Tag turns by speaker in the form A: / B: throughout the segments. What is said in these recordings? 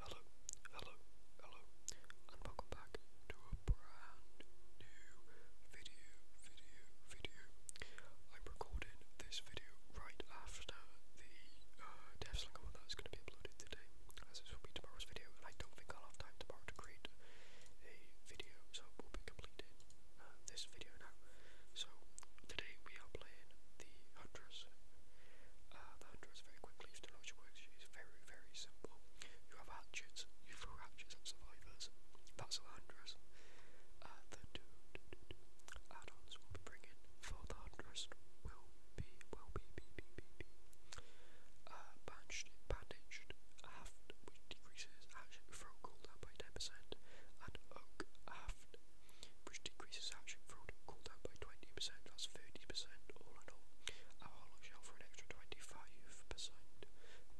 A: Hello, hello, hello, and welcome back to a brand new video, video, video. I'm recording this video right after the uh, one that's going to be uploaded today, as this will be tomorrow's video, and I don't think I'll have time tomorrow to create a video, so we'll be completing uh, this video now. So, today we are playing the Huntress. Uh, the handles very quickly to larger works. It's very, very simple. You have hatchets, you throw hatchets at survivors. That's uh, the handles. the two, two, two, will be bringing for the handles will be, will be, be, be, be, bandaged, uh, bandaged half, which decreases action throw cooldown by 10%, and oak half uh, which decreases action through cooldown by 20%, that's 30% all in all. Our hollow for an extra 25%,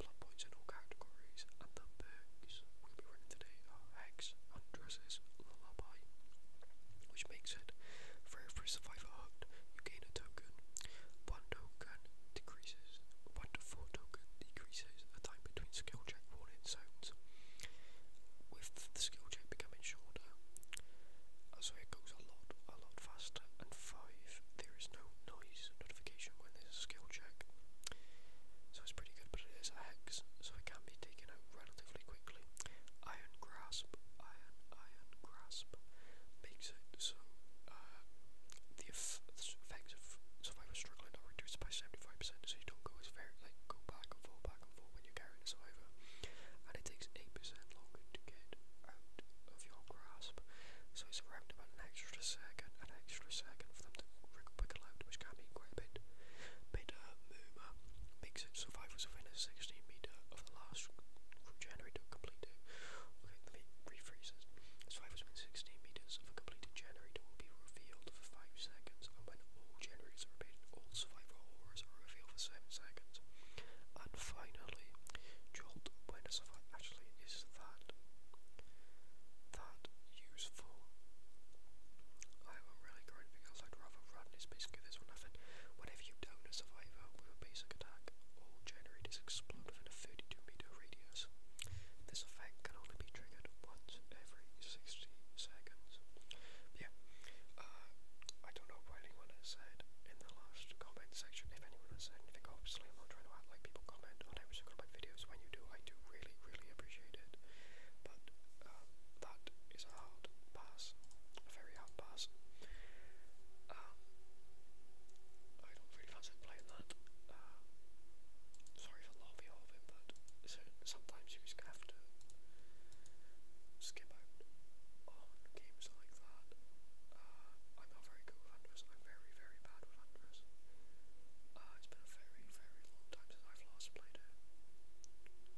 A: blood points in all categories, and the perks we'll be running today are Hex, Undresses, Lullaby, which makes it for every survivor hooked, you gain a token. One token decreases, one to four token decreases the time between skill check warning zones. With the skill check becoming shorter, Oh, so it goes a lot, a lot faster. And five, there is no noise notification when there's a skill check, so it's pretty good. But it is a hex, so it can be taken out relatively quickly. Iron grasp, iron, iron grasp makes it so uh, the, effects of so if I was struggling, I reduce by seventy five percent, so you don't go as very like go back and forth back and forth when you're carrying a scyther, and it takes 8% longer to get out of your grasp. So it's around about an extra second, an extra second for them to wiggle out, which can be quite a bit. But uh, Mooma makes it so survivors within a 16 meter of the last generator completed. Okay, let me rephrase this. Survivors within 16 meters of a completed generator will be revealed for 5 seconds, and when all generators are repeated, all survivor horrors are revealed for 7 seconds. And finally, Jolt when a survivor actually is that that useful. I haven't really got anything else I'd rather run, is basically this one. I whenever you down a survivor with a basic attack, all generators explode within a 32 meter radius. This effect can only be triggered once minutes every 60 seconds. Yeah, uh, I don't know what anyone has said in the last comment section, if anyone has said anything. Obviously, I'm not trying to act people comment on every single of my videos. When you do, I do really, really appreciate it. But um, that is a hard pass, a very hard pass. Um, I don't really fancy playing that. Uh, sorry for lobby of it, but so sometimes you just have to skip out on games like that. Uh, I'm not very good with Huntress, I'm very, very bad with Huntress. Uh, it's been a very, very long time since I've last played it.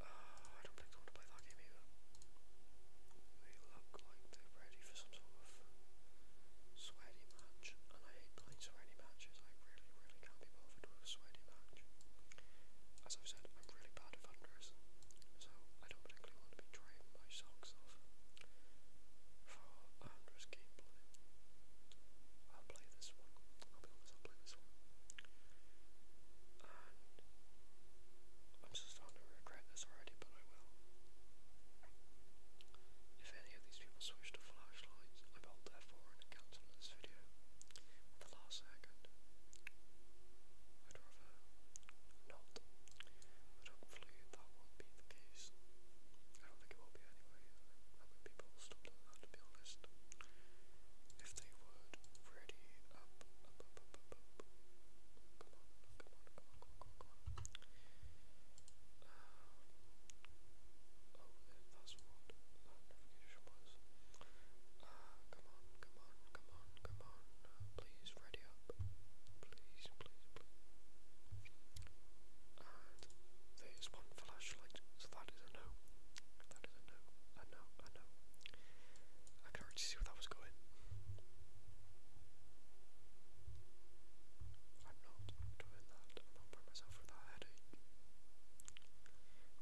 A: Uh, I don't think I want to play that game either. They look like they're ready for some sort of sweaty match and I hate playing sweaty matches. I really, really can't be bothered with a sweaty match. As I've said, I'm really bad at thunders, so I don't particularly want to be drying my socks off for a hundreds gameplay. I'll play this one. I'll be honest, I'll play this one. I'm just starting to regret this already, but I will. If any of these people switch to flashlights, I bolt their four and this video video at the last second. I'd rather not, but hopefully that will be the case. I don't think it will be anyway. I mean, people will stop doing that to be honest. If they would, ready Oh, that's come on, come on, come on, come on. Please, ready up. Please, please, please. And there's one flashlight, so that is a no. That is a no, a no, a no. I can already see where that was going. I'm not doing that. I'm not putting myself through that headache.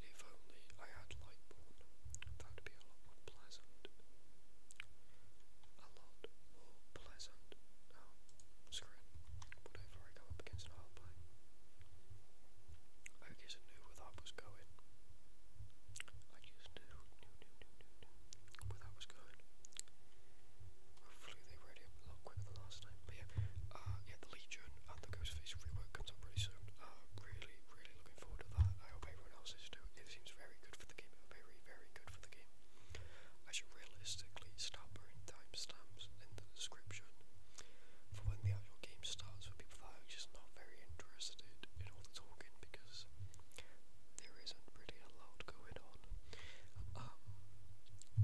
A: If only I had Lightborn, that'd be a lot more pleasant. A lot more pleasant. Oh, screw it. Whatever I come up against an hard play. I just knew where that was going. I just knew, knew, knew, knew, knew, knew where that was going. Hopefully they read it a lot quicker than last time. But yeah, uh, yeah, the Legion and the Ghostface rework comes up pretty soon. Uh, really, really looking forward to that. I hope everyone else is too. It seems very good for the game. Very, very good for the game. I should realistically start putting timestamps in the description for when the actual game starts for people that are just not very interested in all the talking because there isn't really a lot going on on. Um,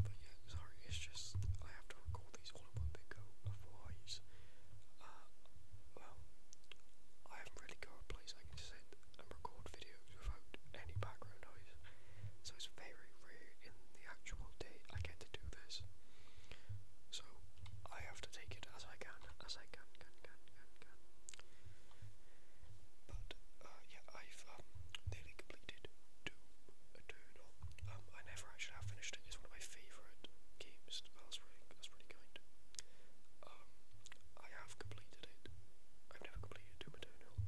A: but yeah, sorry, it's just I have to record these all in one big go, otherwise, uh, well, I have really got a place I can sit and record videos without any background noise, so it's very rare in the actual day I get to do this. So I have to take it as I can, as I can, can, can, can, can. But uh, yeah, I've um, nearly completed I never actually have finished it. It's one of my favourite games. That's really, that's really kind. I have completed it. I've never completed Doom Eternal.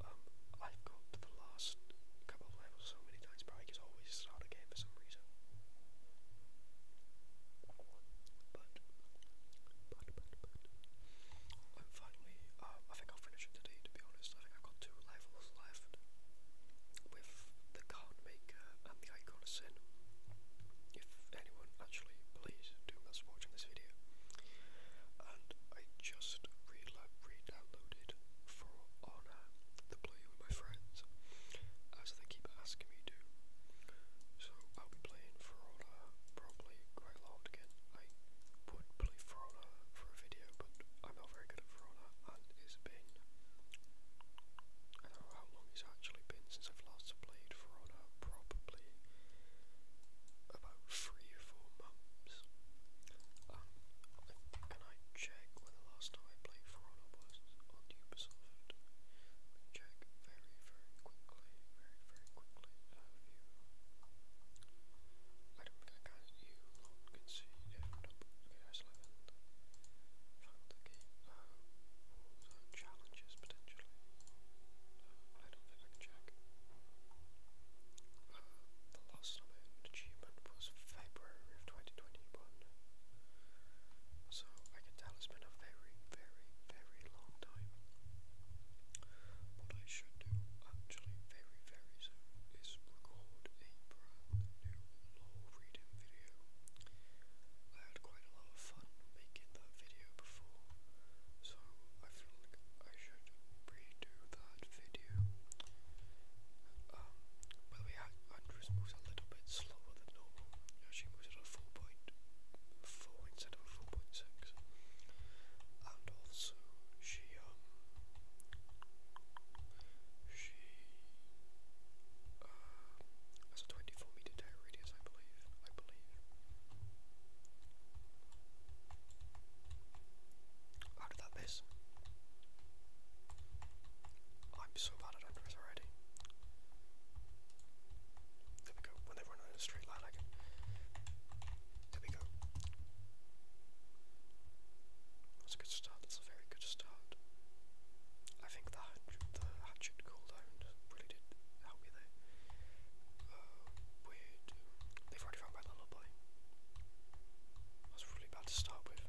A: I've got the last couple levels so many times, but I can always start again for some reason. But, but, but, but. finally, um, I think I've furniture today, to be honest. I have got two levels left with the card and the icon If anyone actually plays Doom that's watching this video. And I just re-downloaded For Honor to play with my friends, as they keep asking me to. So I'll be playing For Honor probably quite a lot again I would play For for a video, but I'm not very good at For and it's been. I don't know how long it's actually been since I've last played For probably about three or four months. Um, can I check when the last time I played For was on Ubisoft? check very, very quickly, very, very quickly. Uh, view. I don't think I can. You lot can see. Okay, I still have found the game. Uh, challenges potentially. I don't think I can check. the last achievement was February of 2021. So I can tell it's been a very, very, very long time. What I should do actually very very soon is record a brand new law reading video. I had quite a lot of fun making that video before, so I feel I should redo that video. Um, by the way, Andrews moves a little bit slower than normal. she moves at a 4.4 instead of And also, she, um, she uh, has a 24 meter tear I believe. I believe. How did that miss? I'm so bad at Endress already. There we go. When they run in a straight line, I can there we go. That's a good start, that's a very good start. I think the, hatchet cooldown really did help me there. Uh, They've already found my lullaby. That's really bad to start with.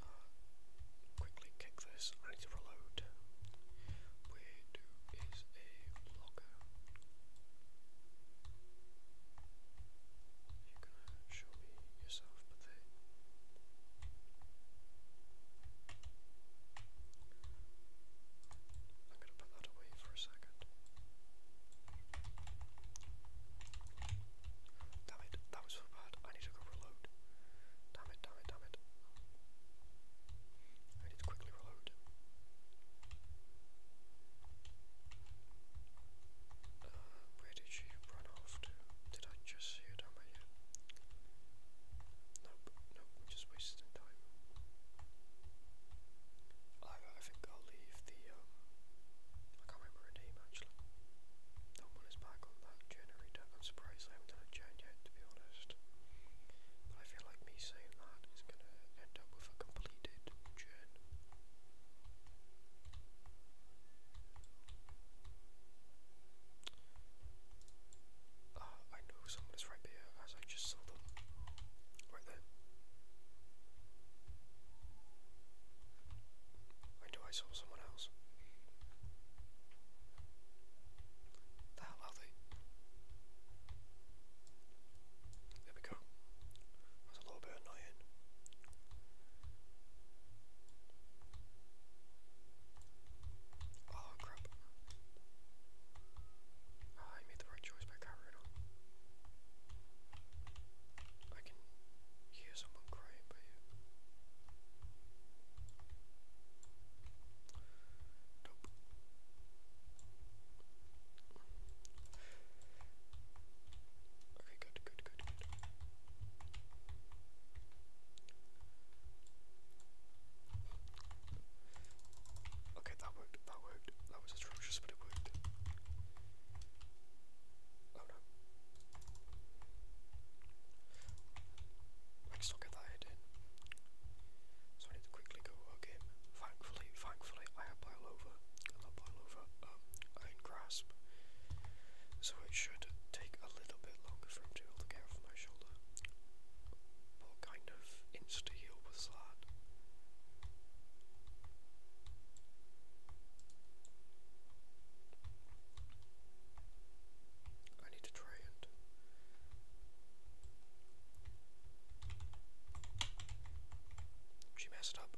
A: Uh, quickly kick this. I need to reload. Weirdo is a vlogger. You're gonna show me yourself, but they. I'm gonna put that away for a second. Damn it, that was so bad. I need to go Damn it, damn it, damn it. I need quickly reload. Uh, where did she run off to? Did I just see her down by Nope, nope, just wasted time. I, I think I'll leave the, um, I can't remember her name actually. That is back on that generator. I'm surprised I haven't done a chat yet, to be honest. I feel like me saying that is going to end up with a completed churn. Uh, ah, I know someone right there, as I just saw them. Right there. I know I saw someone else. What the There we go. That's a little bit annoying. Oh crap. Ah, I made the right choice by carrying on. I can hear someone crying by you. Nope. Okay, good, good, good. Okay, that worked, that worked. That was atrocious, but it worked. Oh no. I can still get that So I need to quickly go okay. Thankfully, thankfully I have pile over. And that pile over um, I can grasp. So it should take a little bit longer for him to be able to get off my shoulder. What kind of insta heal was that? I need to try and she messed up.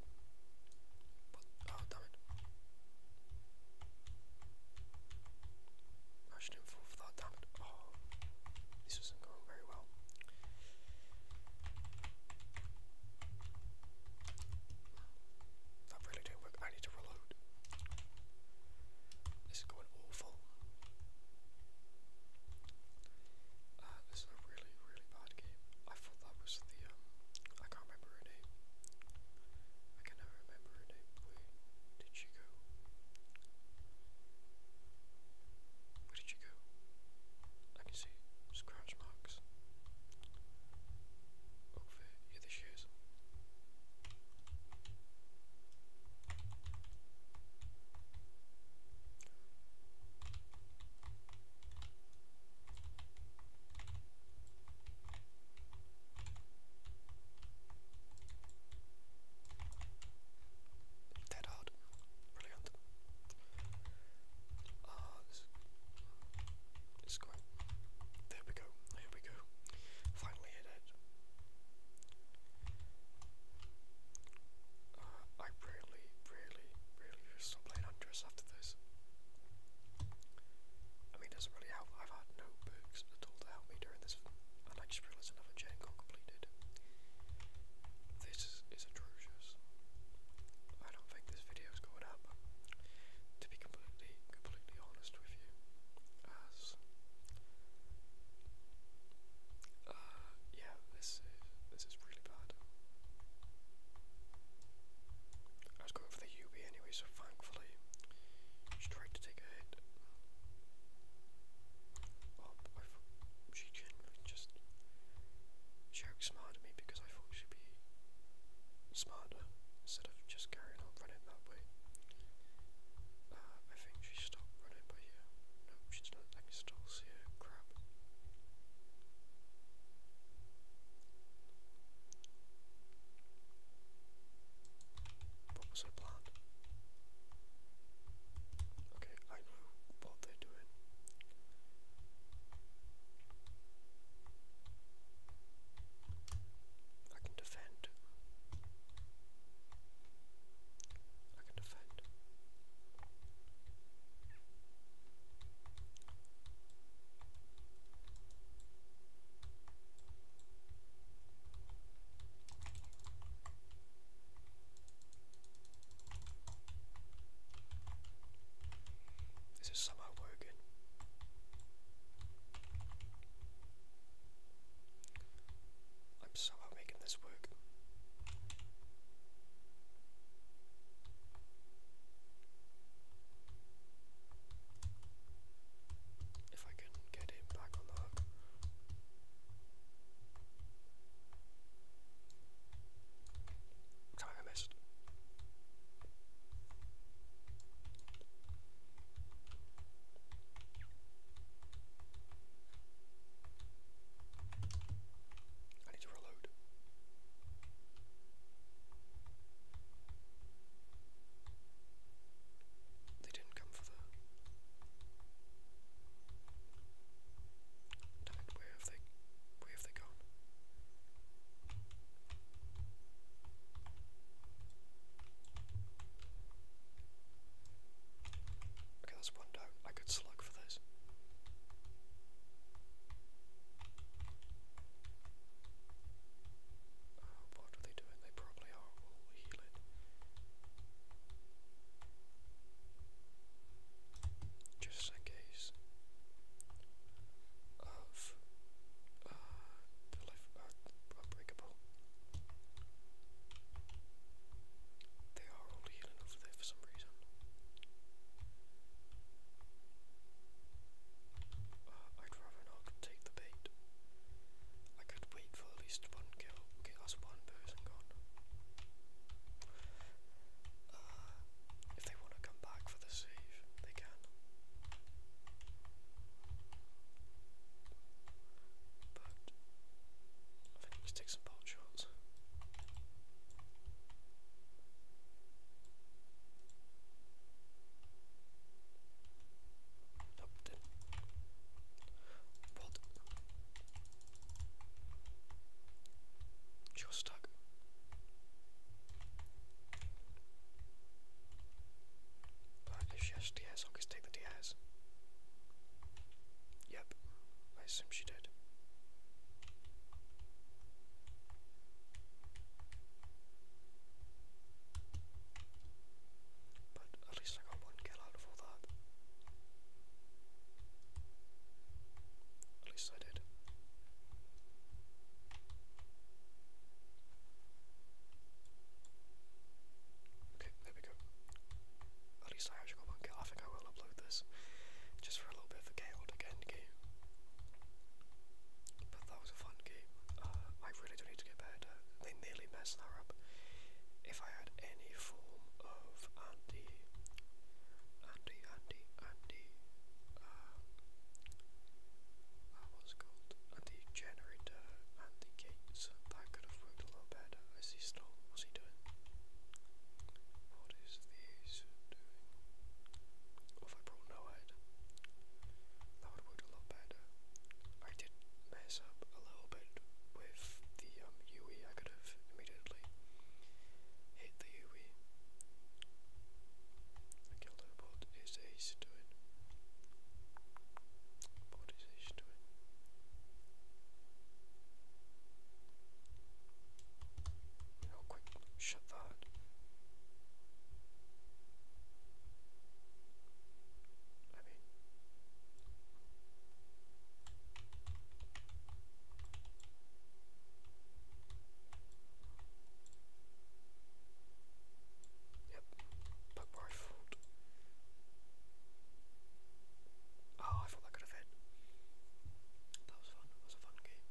A: oh damn it. I shouldn't fall for damn it. Oh this isn't going very well. That really did work. I need to reload. This is going awful. Uh, this is a really, really bad game. I thought that was the, um, I can't remember her name. I can never remember her name. Where did she go? Where did she go? I can see scratch marks. Over yeah, the shoes. Dead hard. Brilliant. Ah, uh, this is it's quite. There we go. There we go. Finally hit it. Uh, I really, really, really should stop playing Huntress after this. I mean, doesn't really help. I've had no perks at all to help me during this, and I just realised another gen completed. This is, atrocious. I don't think this video's going up completely, completely honest with you, as uh, yeah, this is this is really bad. I was going for the UB anyway, so thankfully she tried to take a hit. Oh, I she genuinely just she outsmarted me because I thought she'd be smarter instead of just carrying on running that way. Uh, I think she stopped running by here. No, she's not. I can still Crap. What was her plan? Okay, I know what they're doing. I can defend. I can defend. This is somehow working. I'm somehow making this work. If I can get him back on I need to reload. They didn't come for the. Where have they? Where have they gone? Okay, that's one down. I could slug for this. Oh, what are they doing? They probably are all healing. Just in case of uh, the life uh, unbreakable. They are all healing over there for some reason. Uh, I'd rather not take the bait. I could wait for at least one kill. Okay, that's one person gone. Uh, if they want to come back for the save, they can. But I think let take some bolt Nope, did What? She stuck. Black she has Diaz, i just take the Diaz. Yep, I assume she did. But at least I got one kill out of all that. At least I did. Okay, there we go. At least I actually got one kill. I think I will upload this just for a little bit of a chaotic But that was a fun game. Uh, I really do need to get better. They nearly messed that up. If I had any form of anti, anti, anti, anti uh, uh, called, and uh, generator and the gates, that could have worked a lot better. Is he still, what's he doing? What is the doing? if I brought no that would have a lot better. I did mess up a little bit with the um, UE, I could have immediately hit the UE way. I killed the bot, it's ace to Bot is ace to it. quick, shut that. I mean, Yep. Bug rifled. Oh, I thought that could have hit. That was fun. That was a fun game.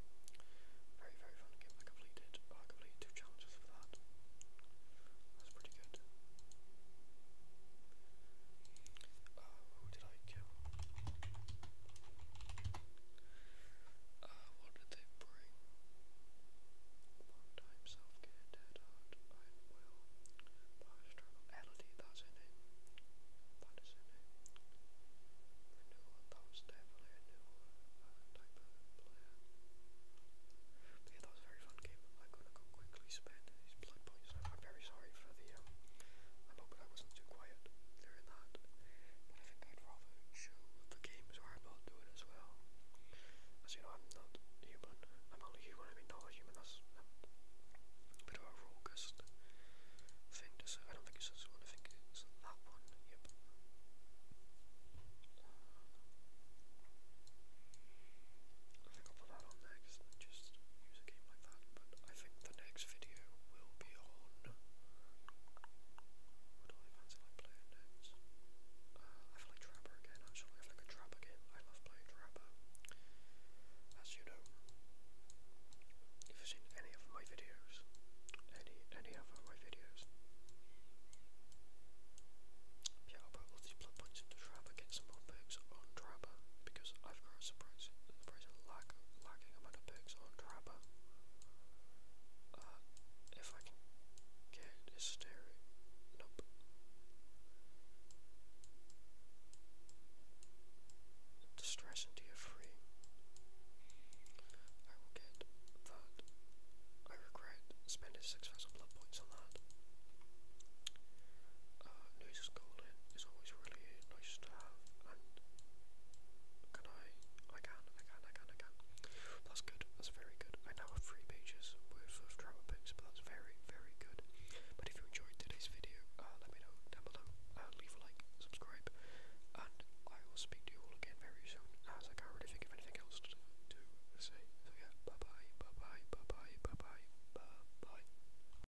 A: Very, very fun game. I completed. Oh, I completed two challenges for that. That's pretty good. Uh, who did I kill? what did they bring? One time self care, dead heart, I am well. Power struggle, Elodie, Renewal, that was definitely a type of player. yeah, that was very fun game. I'm gonna go quickly spend these blood points. I'm very sorry sorry I'm um, hoping I wasn't too quiet during that, but I think I'd rather show the games where I'm not doing as well. As you know, I'm not human, I'm only human, I mean not a human, that's a bit of a raucous thing to I don't think it's this one, I think that one, yep. I will put that on next just use game that, but I think the next video will be on. What I fancy like playing next? Uh, I like Trapper again, actually. I like a Trapper I love playing Trapper. As you know, if you've seen any of my videos, any any other my videos, yeah, I'll put all these blood points into Trapper, get some more perks on Trapper because I've got a surprising, surprising lack, lack lacking amount uh, if I can get his steering, nope. I will get that. I regret spending 6,000 blood points on that. Uh, Noose's Golden is always really nice to have. And can I? I can, I can, I can, I can. That's good, that's very good. I now have three pages worth of travel picks, but that's very, very good. But if you enjoyed today's video, uh, let me know down below. leave a like, subscribe, and I will speak to you all again very soon, as I can't really think of anything else to, to say. So yeah, bye bye, bye bye, bye bye, bye bye, bye bye.